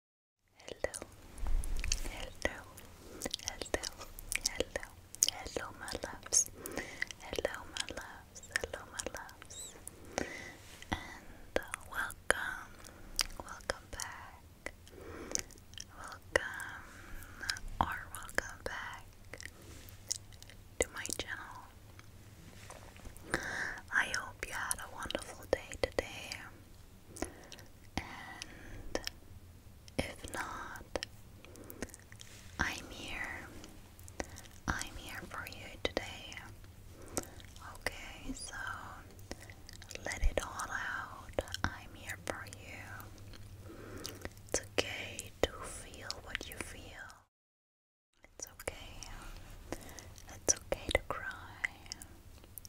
Hello, hello, hello, hello, hello, my loves. Hello, my loves. Hello, my loves. And uh, welcome, welcome back. Welcome or welcome back to my channel. I hope you had a wonderful day today. And if not, I'm here. I'm here for you today. Okay, so let it all out. I'm here for you. It's okay to feel what you feel. It's okay. It's okay to cry.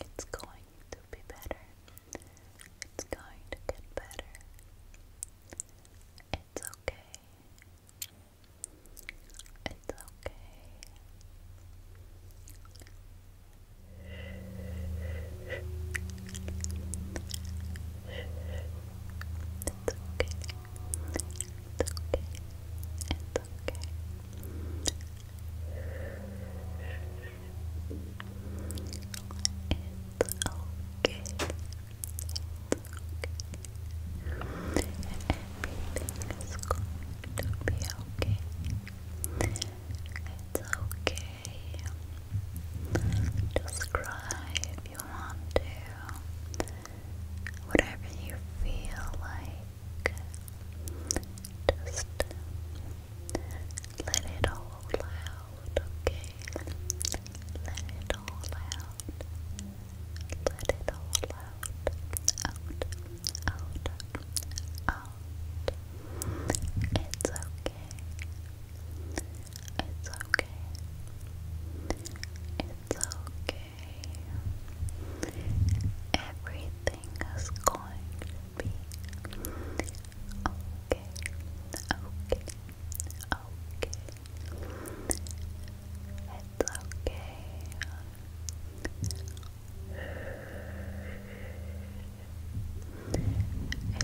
It's going to be better. It's going to get better. It's okay. It's okay. It's okay. It's okay. It's okay. It's okay. It's okay. Everything is going to be okay. It's okay. Just cry if you want to whatever you feel like, just let it all out, okay? Let it all out, let it all out, out, out, out. It's okay. It's okay. It's okay. Everything is going to be okay. Okay. Okay. It's okay. It's okay.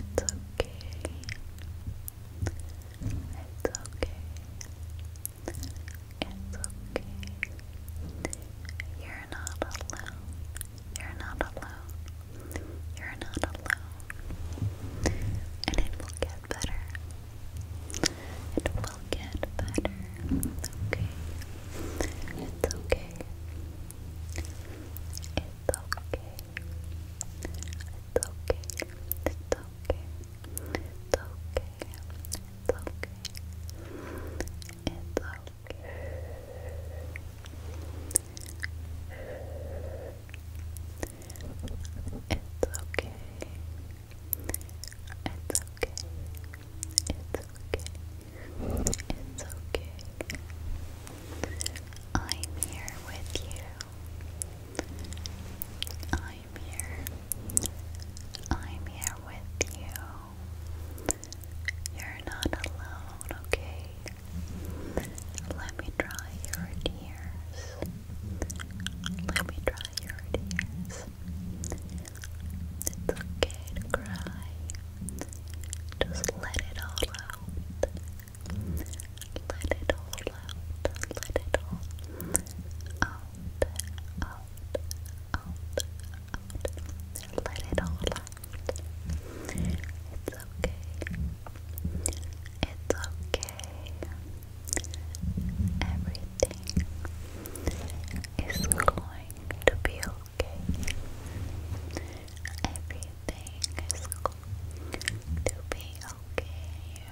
It's okay. It's okay. It's okay. You're not alone. You're not alone. You're not alone. And it will get better. It will get better. It's okay. It's okay. It's okay. It's okay. It's okay. It's okay. It's okay. It's okay. It's okay. It's okay. It's okay. It's okay. It's okay. I'm here with you. I'm I'm here. I'm here with you. You're not alone, okay? Let me dry your tears. Let me dry your tears. It's okay to cry. Just let it all out. Let it all out. Let it all Out out, out, Let it all out. It's okay. It's okay. Everything is going to be okay. Everything is going to be okay.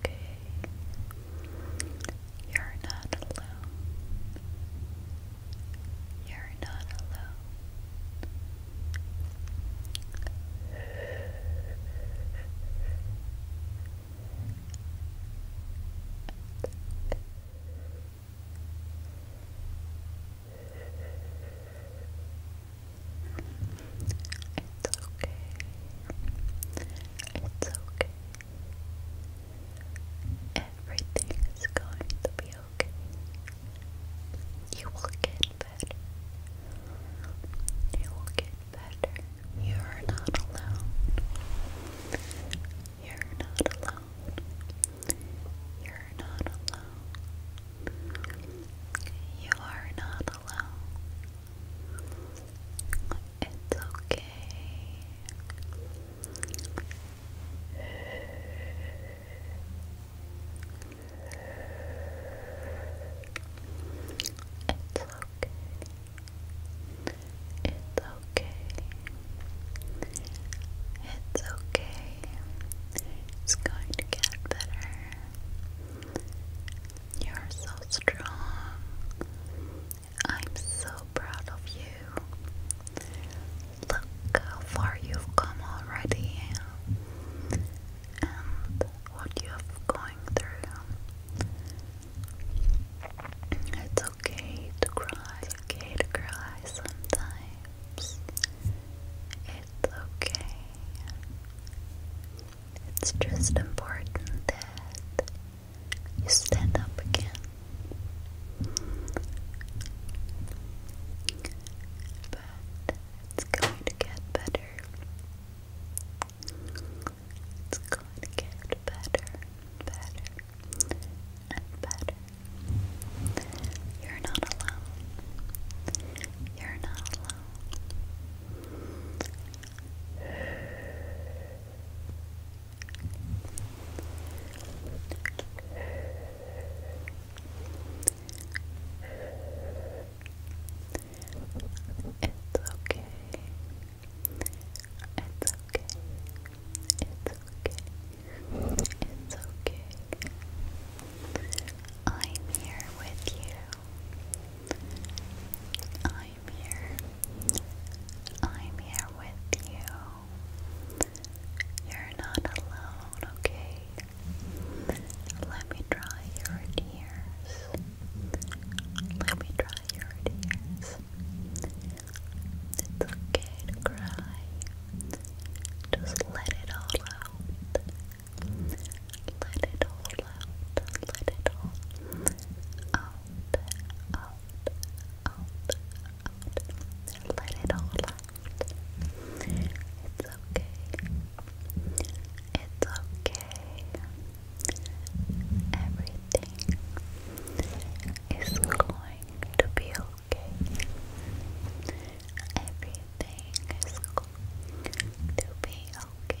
okay. You're not alone. You're not alone. It's okay. It's okay. Everything is going to be okay. You will get better. You will get better. You are not alone. You're not alone. You're not alone. You are not alone. It's okay. It's okay. It's okay. It's okay. It's going to get better. You're so strong. I'm so proud of you. Look how far you've come already and what you have going through. It's okay to cry, okay to cry sometimes. It's okay. It's just important that you stand up again. But it's going to get better. It's going to get better, better, and better. You're not alone. You're not alone. It's okay. It's okay. It's okay. It's okay. I'm here with you. I'm here. I'm here with you. You're not alone, okay? Let me dry your tears. Let me dry your tears. It's okay to cry. Just let it all out. Let it all let it all out, out, out, out. Let it all out. It's okay. It's okay. Everything is going to be okay. Everything is going to be okay.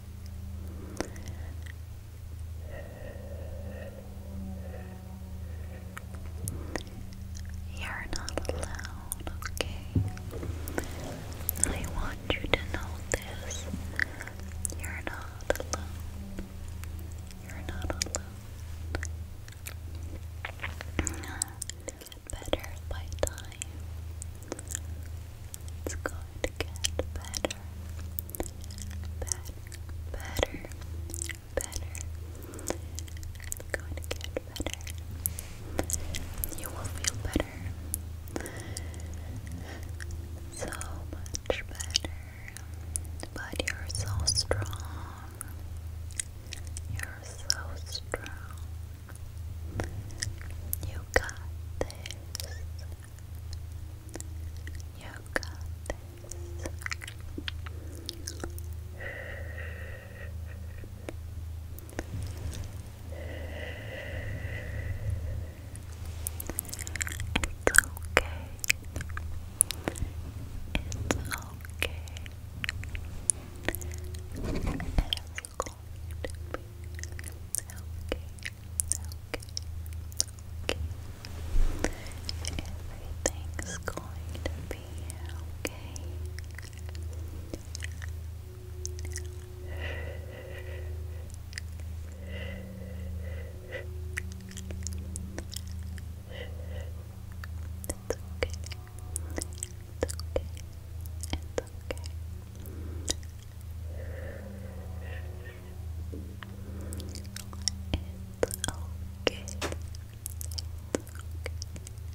You're not alone, okay? I want you to know this. You're not alone. You're not alone. Better by time. It's going to get better, better, better, better. It's going to get better. You will feel better. So much better. But you're so strong. You're so strong. You got this. You It's okay. It's okay going to be okay, okay, okay. Everything's going to be okay. okay. okay. It's okay. It's okay. It's Everything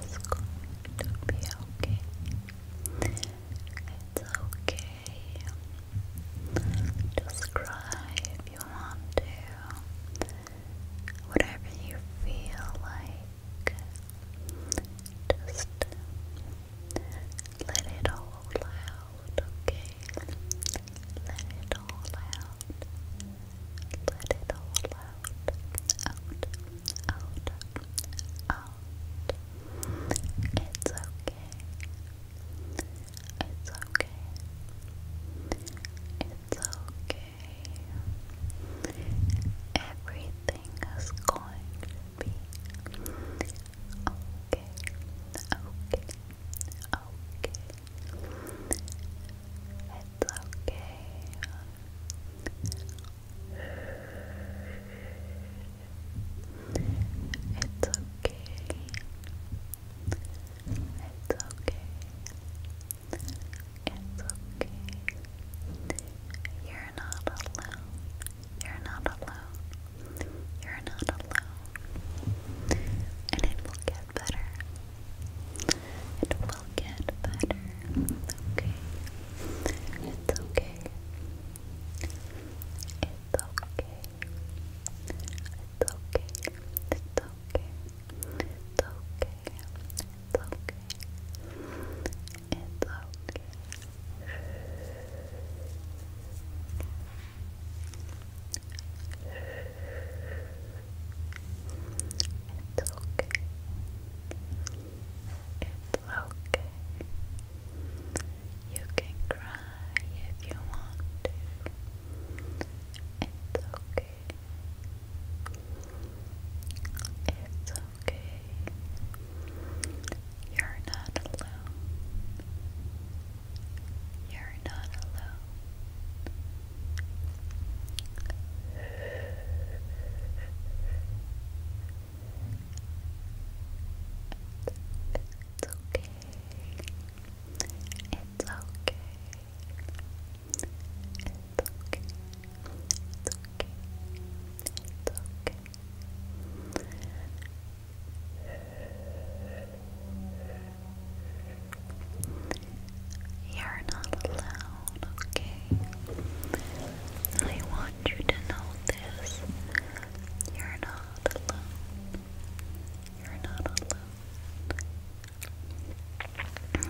is going to be okay. It's okay. Just cry if you want to. Whatever you feel like. Just let it all out, okay? Let it all out. Let it all out. Out, out, out. It's okay. It's okay. It's okay. Everything is going to be okay. Okay. Okay. It's okay. It's okay. It's okay. It's okay. It's okay. You're not alone. You're not alone. You're not alone. And it will get better. It will get better. okay. It's okay. It's okay. It's okay. It's okay. It's okay. It's okay. It's okay. It's okay. It's okay. You can cry if you want It's okay. It's okay. You're not alone. You're not alone. It's okay. It's okay. It's okay. It's okay. It's okay. You're not alone, okay? I want you to know this. You're not alone. You're not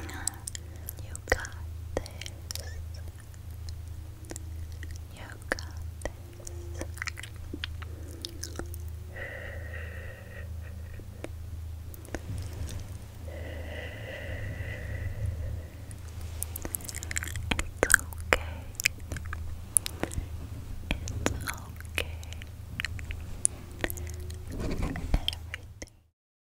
alone. You got this. You got this. It's okay. It's okay. Everything.